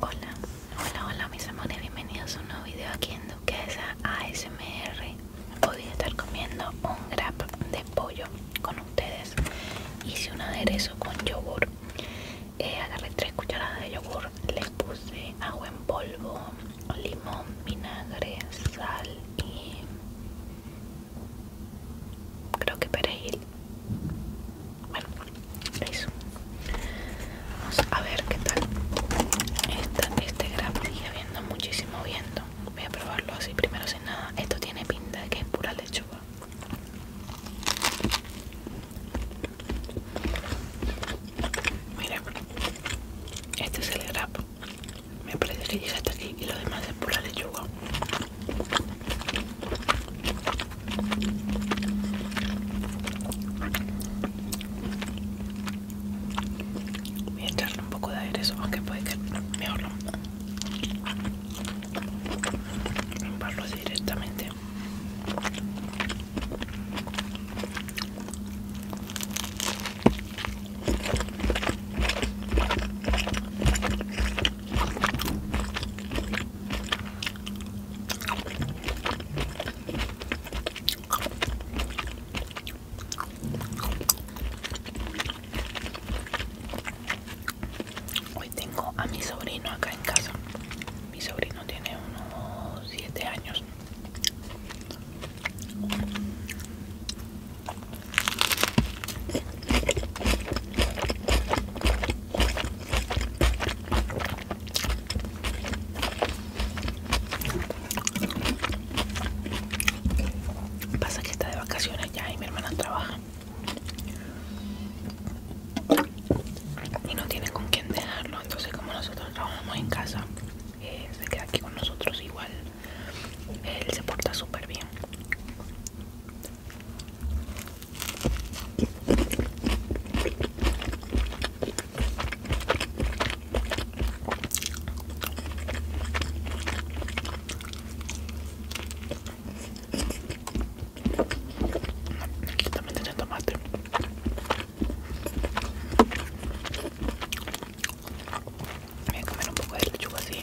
Hola, hola, hola mis amores, bienvenidos a un nuevo video aquí en Duquesa ASMR Hoy voy a estar comiendo un grab de pollo con ustedes Hice un aderezo con yogur eh, Agarré tres cucharadas de yogur, les puse agua en polvo, limón, vinagre, sal y creo que perejil bueno, eso. Vamos a ver qué tal. Esta, este grab sigue habiendo muchísimo viento. Voy a probarlo así primero sin nada. Esto tiene pinta de que es pura lechuga. mira este es el grap. Me parece que llega hasta aquí y lo demás es pura lechuga. Voy a echarle un poco de aderezo, aunque puede que mejor lo limparlo directamente. Hoy tengo a mi sobrino acá en casa. Mi sobrino tiene unos siete años. Pasa que está de vacaciones ya y mi hermana trabaja. Y no tiene con quién dejarlo. Entonces como nosotros trabajamos en casa, eh, se queda aquí con nosotros igual. Él se porta súper bien. Aquí también tiene tomate. Voy a comer un poco de lechuga así.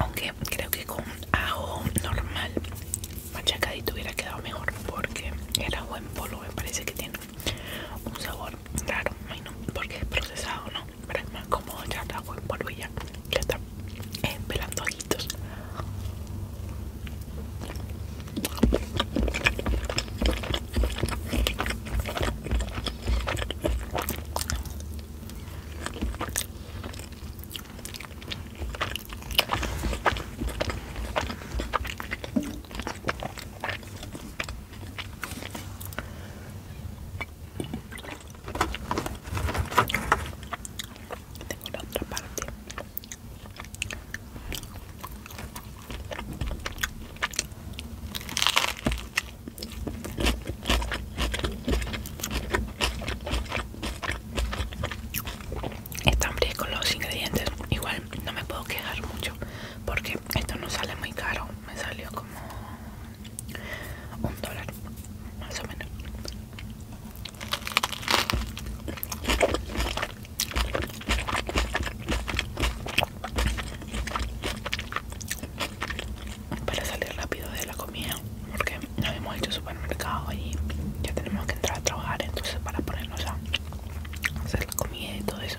Aunque creo que con ajo normal machacadito hubiera quedado mejor porque el ajo en polvo me parece que tiene un sabor raro, no, porque es procesado, ¿no? pero es más cómodo echar el agua en polvilla que está eh, pelando ojitos tengo la otra parte. Están con los ingredientes, igual no me puedo quejar mucho porque esto no sale muy caro me salió como un dólar más o menos para salir rápido de la comida porque no hemos hecho supermercado y ya tenemos que entrar a trabajar entonces para ponernos a hacer la comida y todo eso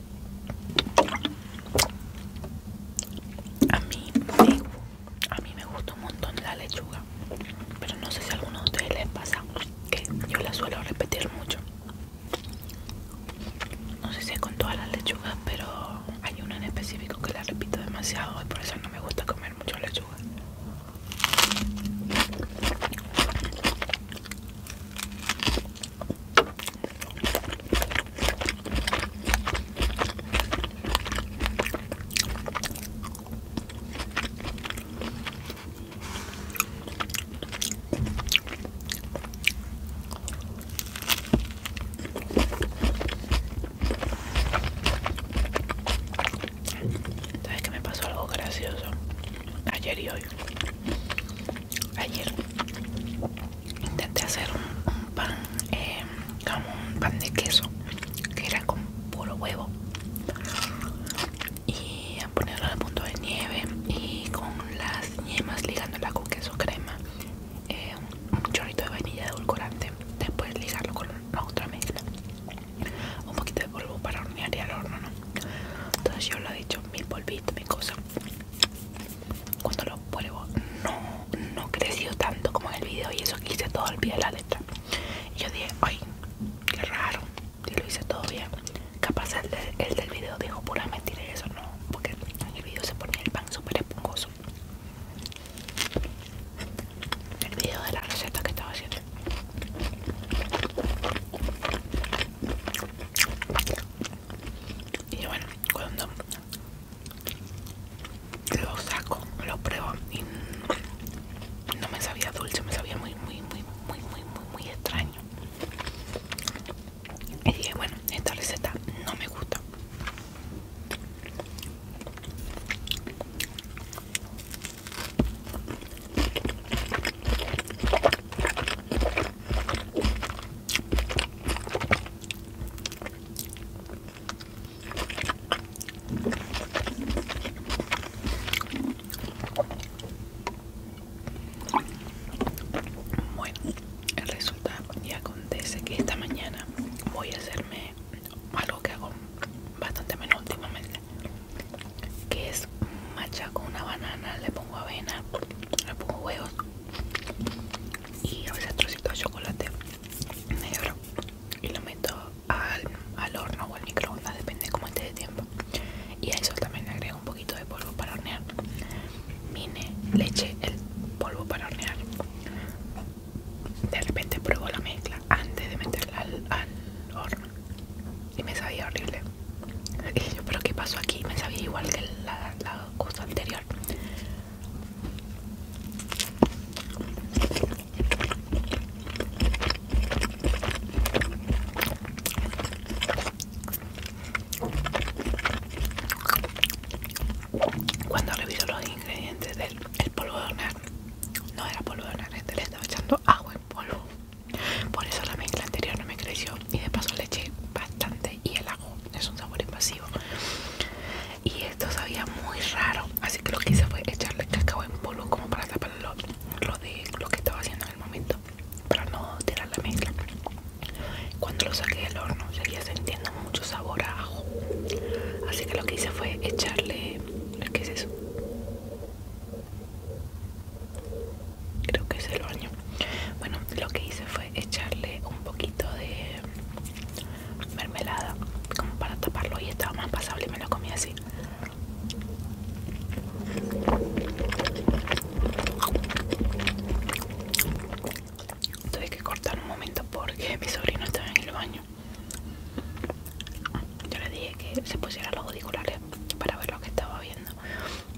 A mí, me, a mí me gusta un montón la lechuga, pero no sé si a alguno de ustedes les pasa que yo la suelo repetir mucho. No sé si es con todas las lechugas, pero hay una en específico que la repito demasiado y por eso no me gusta comer mucho lechuga. Sabes que me pasó algo gracioso ayer y hoy. Ayer intenté hacer un, pan, eh, como un pan de queso, que era con puro huevo, y a ponerlo al punto de nieve y con las yemas ligándola con queso crema, eh, un chorrito de vainilla de edulcorante, después ligarlo con otra mezcla un poquito de polvo para hornear y al horno, Entonces yo lo he dicho mi mil polvitos, mi cosa. Cuando lo vuelvo no, no creció tanto como en el video y eso que hice todo al pie de la letra. Y yo dije, ay, qué raro, y lo hice todo bien. Capaz el, del video dijo pura mentira eso no, porque en el video se ponía el pan súper esponjoso. El video de la receta que estaba haciendo. Y bueno, cuando lo saco, lo pruebo y no me sabía dulce, me sabía muy, muy, muy, muy, muy, muy, muy extraño. Y dije, bueno, esta receta no me gusta. Bueno, resultado y acontece que esta mañana voy a hacerme algo que hago bastante menos últimamente que es macha con una banana, le pongo avena, le pongo huevos y a veces trocito de chocolate negro y lo meto al, horno o al microondas, depende como esté de tiempo. Y a eso también le agrego un poquito de polvo para hornear. Mine, leche, el polvo para hornear. De repente pruebo la mezcla antes de meterla al horno y me sabía horrible. yo, pero que pasó aquí? Me sabía igual que el la cosa anterior. Cuando reviso los ingredientes del polvo de hornear, no era polvo de hornear, este le estaba echando agua polvo por eso la mezcla anterior no me creció y de paso le eché bastante y el ajo es un sabor invasivo y esto sabía muy raro así que lo que hice fue echarle cacao en polvo como para tapar lo, de lo que estaba haciendo en el momento para no tirar la mezcla cuando lo saqué del horno seguía sintiendo mucho sabor a ajo así que lo que hice fue echarle ¿qué es eso? creo que es el baño bueno lo que hice fue echarle un poquito de mermelada como para taparlo y estaba más pasable y me lo comí así tuve que cortar un momento porque mi sobrino estaba en el baño yo le dije que se pusiera los auriculares para ver lo que estaba viendo.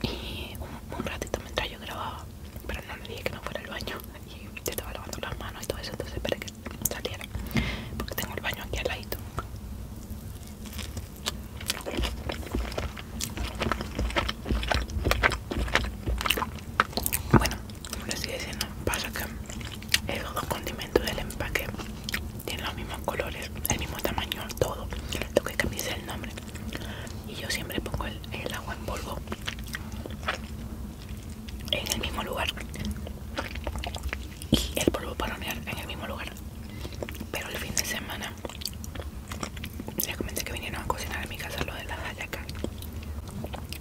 Y un, ratito mientras yo grababa, pero no le dije que no fuera al baño. Y yo estaba lavando las manos y todo eso, entonces esperé que saliera. Porque tengo el baño aquí al lado Bueno, como les sigue diciendo, pasa que esos dos condimentos del empaque tiene los mismos colores, el mismo tamaño, todo. Lo que cambia es el nombre. Y yo siempre pongo el, agua en polvo en el mismo lugar y el polvo para hornear en el mismo lugar. Pero el fin de semana les comenté que vinieron a cocinar a mi casa lo de las hallacas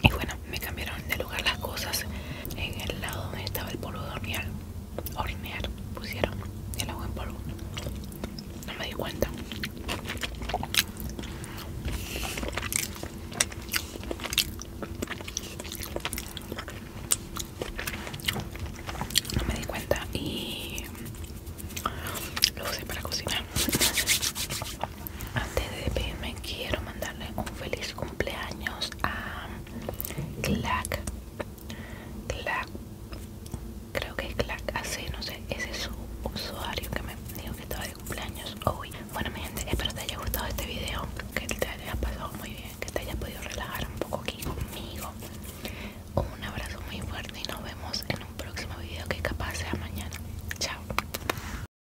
y bueno me cambiaron de lugar las cosas en el lado donde estaba el polvo de hornear hornear pusieron el agua en polvo no me di cuenta no me di cuenta y lo usé para cocinar antes de despedirme quiero mandarle un feliz cumpleaños a Clack Clack creo que es Clack así no sé ese es su usuario que me dijo que estaba de cumpleaños hoy bueno mi gente espero te haya gustado este video que te haya pasado muy bien que te haya podido relajar un poco aquí conmigo un abrazo muy fuerte y nos vemos en un próximo video que capaz sea mañana chao